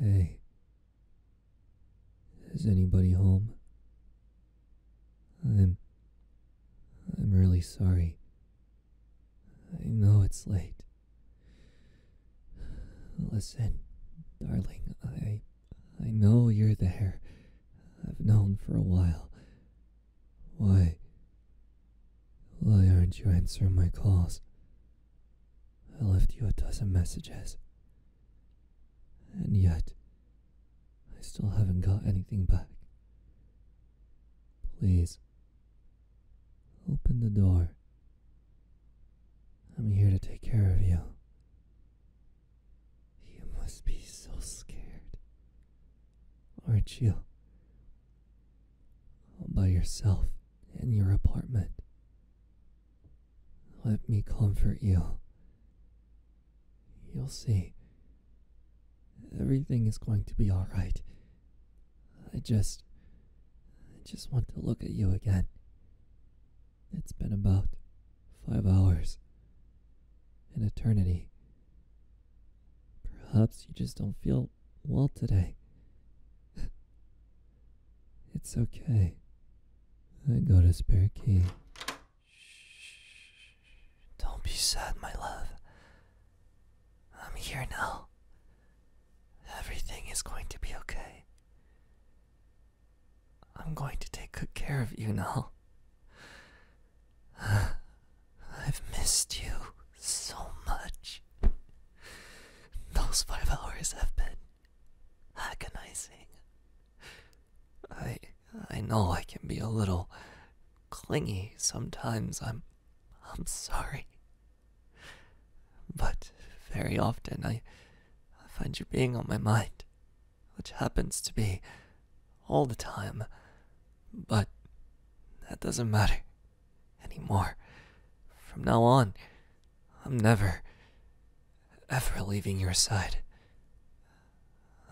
Hey, is anybody home? I'm. I'm really sorry. I know it's late. Listen, darling, I. I know you're there. I've known for a while. Why? Why aren't you answering my calls? I left you a dozen messages. And yet, I still haven't got anything back. Please, open the door. I'm here to take care of you. You must be so scared, aren't you? all by yourself in your apartment. Let me comfort you. You'll see. Everything is going to be alright. I just. I just want to look at you again. It's been about five hours. An eternity. Perhaps you just don't feel well today. it's okay. I got a spare key. Shh. Don't be sad, my love. I'm here now. Everything is going to be okay. I'm going to take good care of you now. I've missed you so much. Those five hours have been agonizing. I I know I can be a little clingy sometimes. I'm I'm sorry. But very often I I find you being on my mind, which happens to be all the time. But that doesn't matter anymore. From now on, I'm never, ever leaving your side.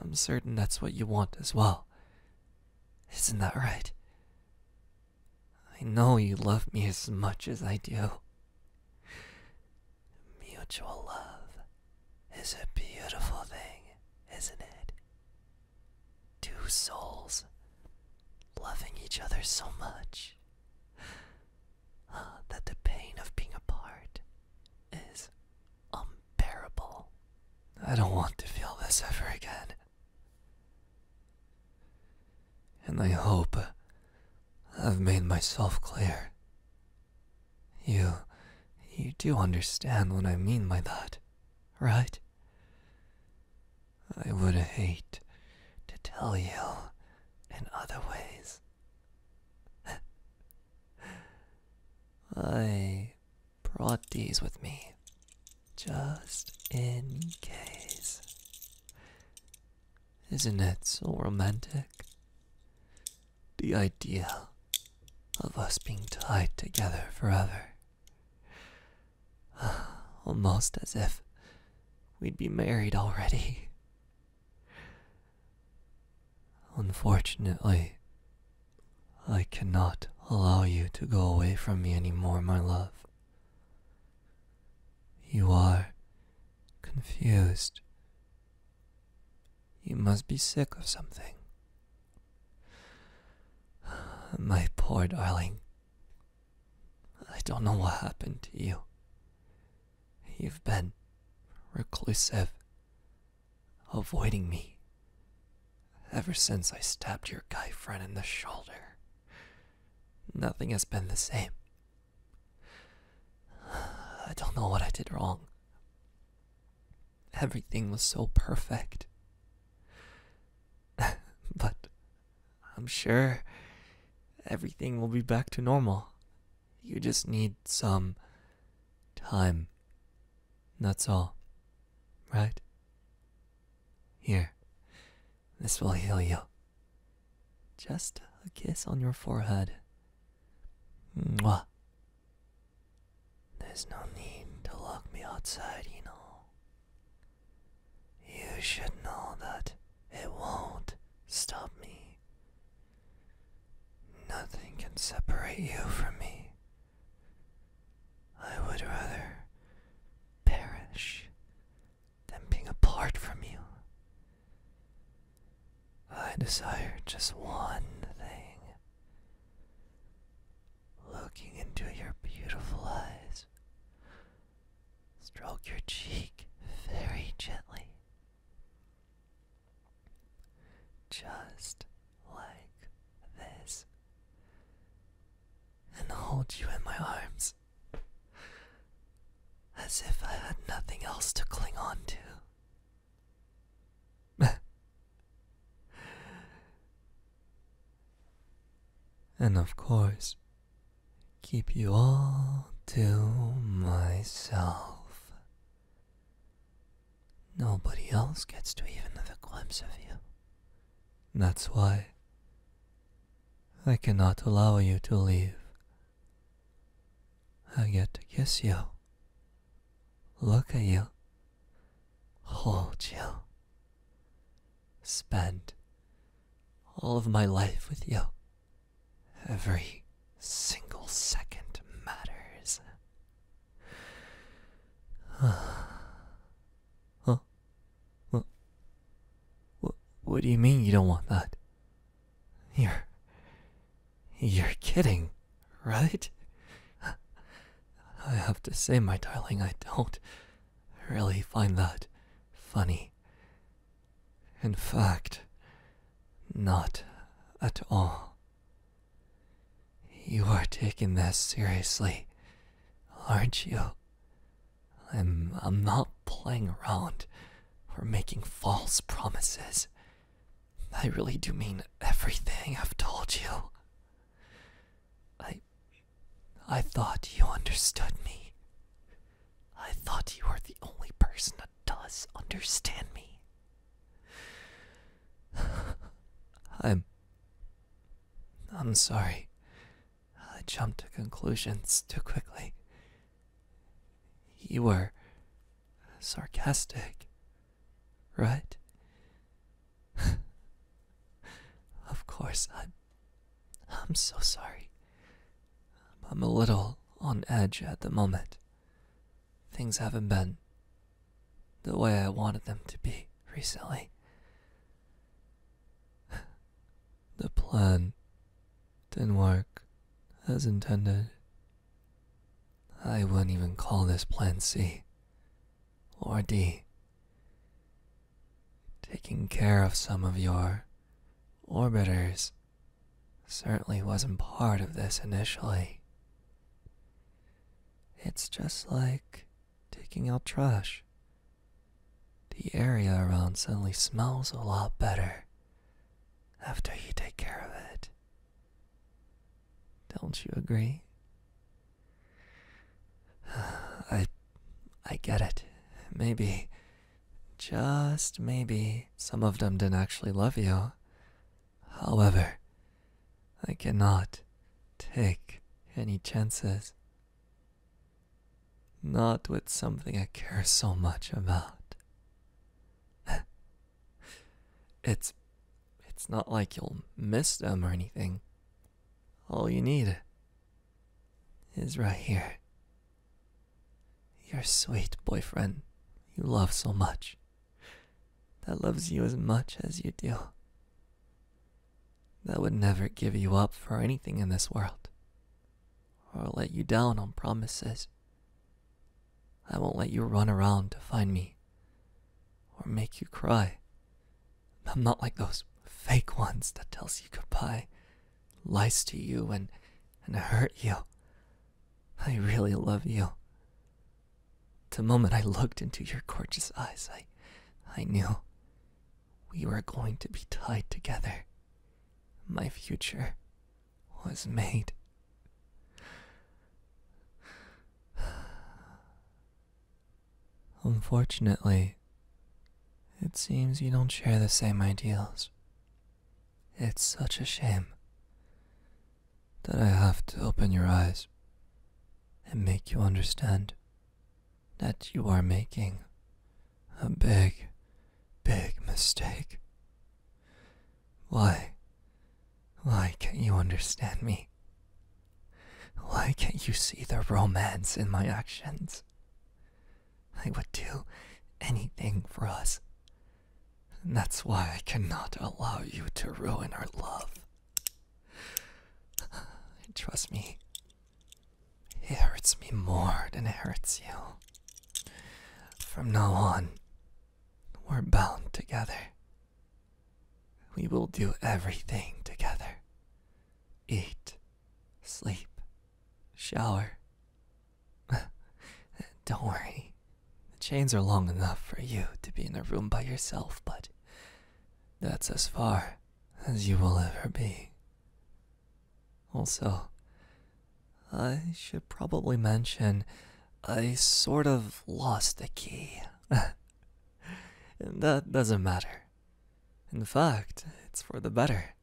I'm certain that's what you want as well. Isn't that right? I know you love me as much as I do. Mutual love is a beautiful thing, isn't it? Two souls loving each other so much uh, that the pain of being apart is unbearable. I don't want to feel this ever again. And I hope I've made myself clear. You. you do understand what I mean by that, right? I would hate to tell you in other ways. I brought these with me just in case. Isn't it so romantic? the idea of us being tied together forever. Almost as if we'd be married already. Unfortunately, I cannot allow you to go away from me any more, my love. You are confused you must be sick of something. My poor darling. I don't know what happened to you. You've been reclusive, avoiding me ever since I stabbed your guy friend in the shoulder. Nothing has been the same. I don't know what I did wrong. Everything was so perfect. but I'm sure everything will be back to normal. You just need some time. That's all. Right? Here. This will heal you. Just a kiss on your forehead there's no need to lock me outside, you know. You should know that it won't stop me. Nothing can separate you from me. I would rather perish than being apart from you. I desire just one thing looking into your beautiful eyes. Stroke your cheek very gently, just like this, and hold you in my arms as if I had nothing else to cling on to. and of course, keep you all to myself. Nobody else gets to even a glimpse of you. That's why I cannot allow you to leave I get to kiss you, look at you, hold you, spend all of my life with you. Every single second matters. huh? Huh? What, do you mean you don't want that? You're. You're kidding, right? I have to say, my darling, I don't really find that funny. In fact, not at all. You are taking this seriously, aren't you? I'm I'm not playing around or making false promises. I really do mean everything I've told you. I I thought you understood me. I thought you were the only person that does understand me. I'm I'm sorry I jumped to conclusions too quickly. You were sarcastic, right? of course, I'm. I'm so sorry. I'm a little on edge at the moment. Things haven't been the way I wanted them to be recently. the plan didn't work as intended. I wouldn't even call this plan C or D. Taking care of some of your orbiters certainly wasn't part of this initially. It's just like taking out trash the area around suddenly smells a lot better after you take care of it. Don't you agree? I I get it. Maybe just maybe some of them didn't actually love you. However, I cannot take any chances not with something I care so much about. it's it's not like you'll miss them or anything. All you need is right here. Your sweet boyfriend you love so much. That loves you as much as you do that would never give you up for anything in this world, or let you down on promises. I won't let you run around to find me, or make you cry. I'm not like those fake ones that tells you goodbye, lies to you, and, and hurt you. I really love you. The moment I looked into your gorgeous eyes, I, I knew we were going to be tied together. My future was made. Unfortunately, it seems you don't share the same ideals. It's such a shame that I have to open your eyes and make you understand that you are making a big, big mistake. Why? Why can't you understand me? Why can't you see the romance in my actions? I would do anything for us. And that's why I cannot allow you to ruin our love. Trust me, it hurts me more than it hurts you. From now on, we're bound together. We will do everything together eat, sleep, shower. Don't worry, the chains are long enough for you to be in a room by yourself, but that's as far as you will ever be. Also, I should probably mention I sort of lost a key. that doesn't matter. In fact, it's for the better.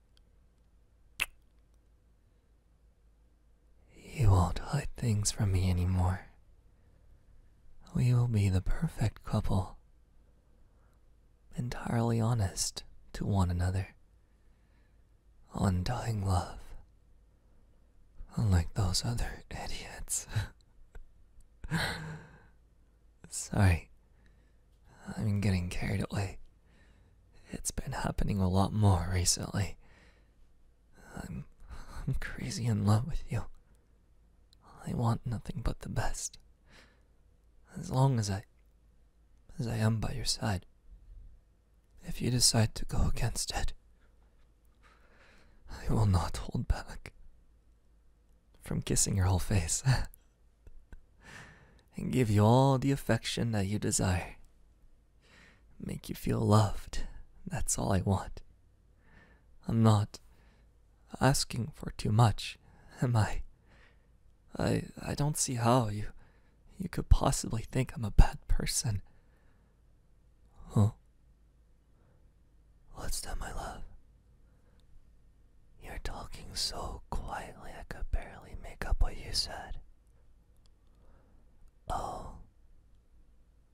You won't hide things from me anymore. We will be the perfect couple. Entirely honest to one another. Undying love. Unlike those other idiots. Sorry, I'm getting carried away. It's been happening a lot more recently. I'm I'm crazy in love with you. I want nothing but the best. As long as I as I am by your side. If you decide to go against it, I will not hold back from kissing your whole face and give you all the affection that you desire. Make you feel loved. That's all I want. I'm not asking for too much, am I? I I don't see how you you could possibly think I'm a bad person. Huh? What's that, my love? You're talking so quietly I could barely make up what you said. Oh,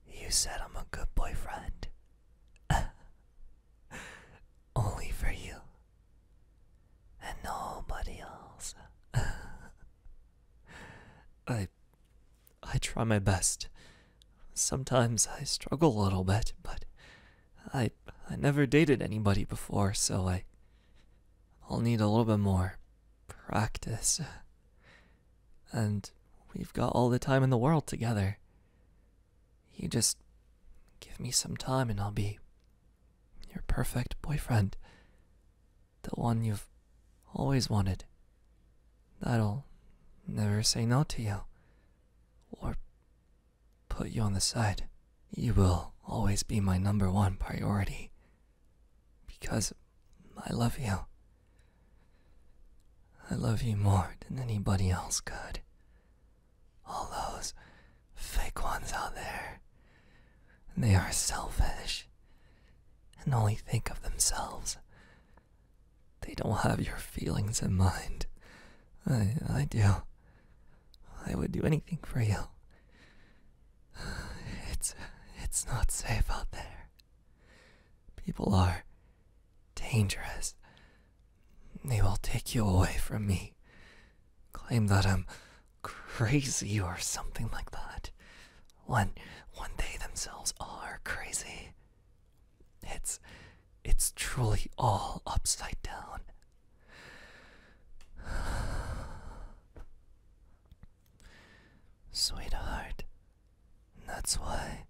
you said I'm a good boyfriend. Only for you. And nobody else. I I try my best. Sometimes I struggle a little bit, but I I never dated anybody before, so I I'll need a little bit more practice and we've got all the time in the world together. You just give me some time and I'll be your perfect boyfriend. The one you've always wanted. That'll never say no to you. Or put you on the side. You will always be my number one priority. Because I love you. I love you more than anybody else could. All those fake ones out there, they are selfish and only think of themselves. They don't have your feelings in mind. I, I do. I would do anything for you. It's, it's not safe out there. People are dangerous. They will take you away from me, claim that I'm crazy or something like that. When when they themselves are crazy. It's it's truly all upside down. Sweetheart, that's why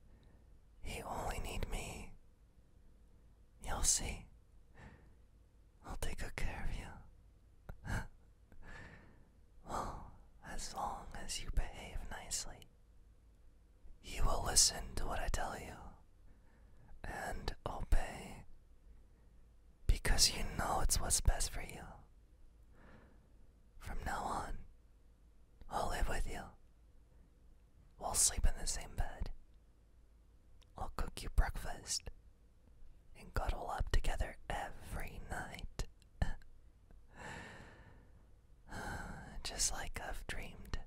you only need me. You'll see. I'll take care of you. well, as long as you behave nicely, you will listen to what I tell you and obey. Because you know it's what's best for you. From now on, I'll live with you. We'll sleep in the same bed. I'll cook you breakfast and cuddle up together every night. Just like I've dreamed.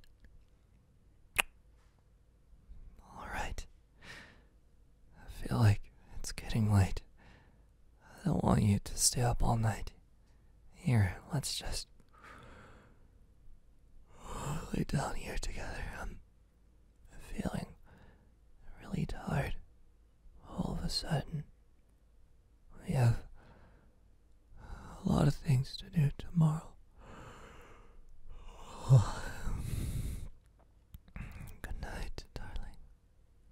All right. I feel like it's getting late. I don't want you to stay up all night. Here, let's just lay down here together. I'm feeling really tired all of a sudden. We have a lot of things to do tomorrow. Good night, darling.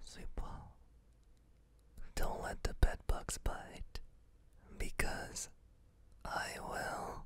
Sleep well. Don't let the bed bugs bite, because I will.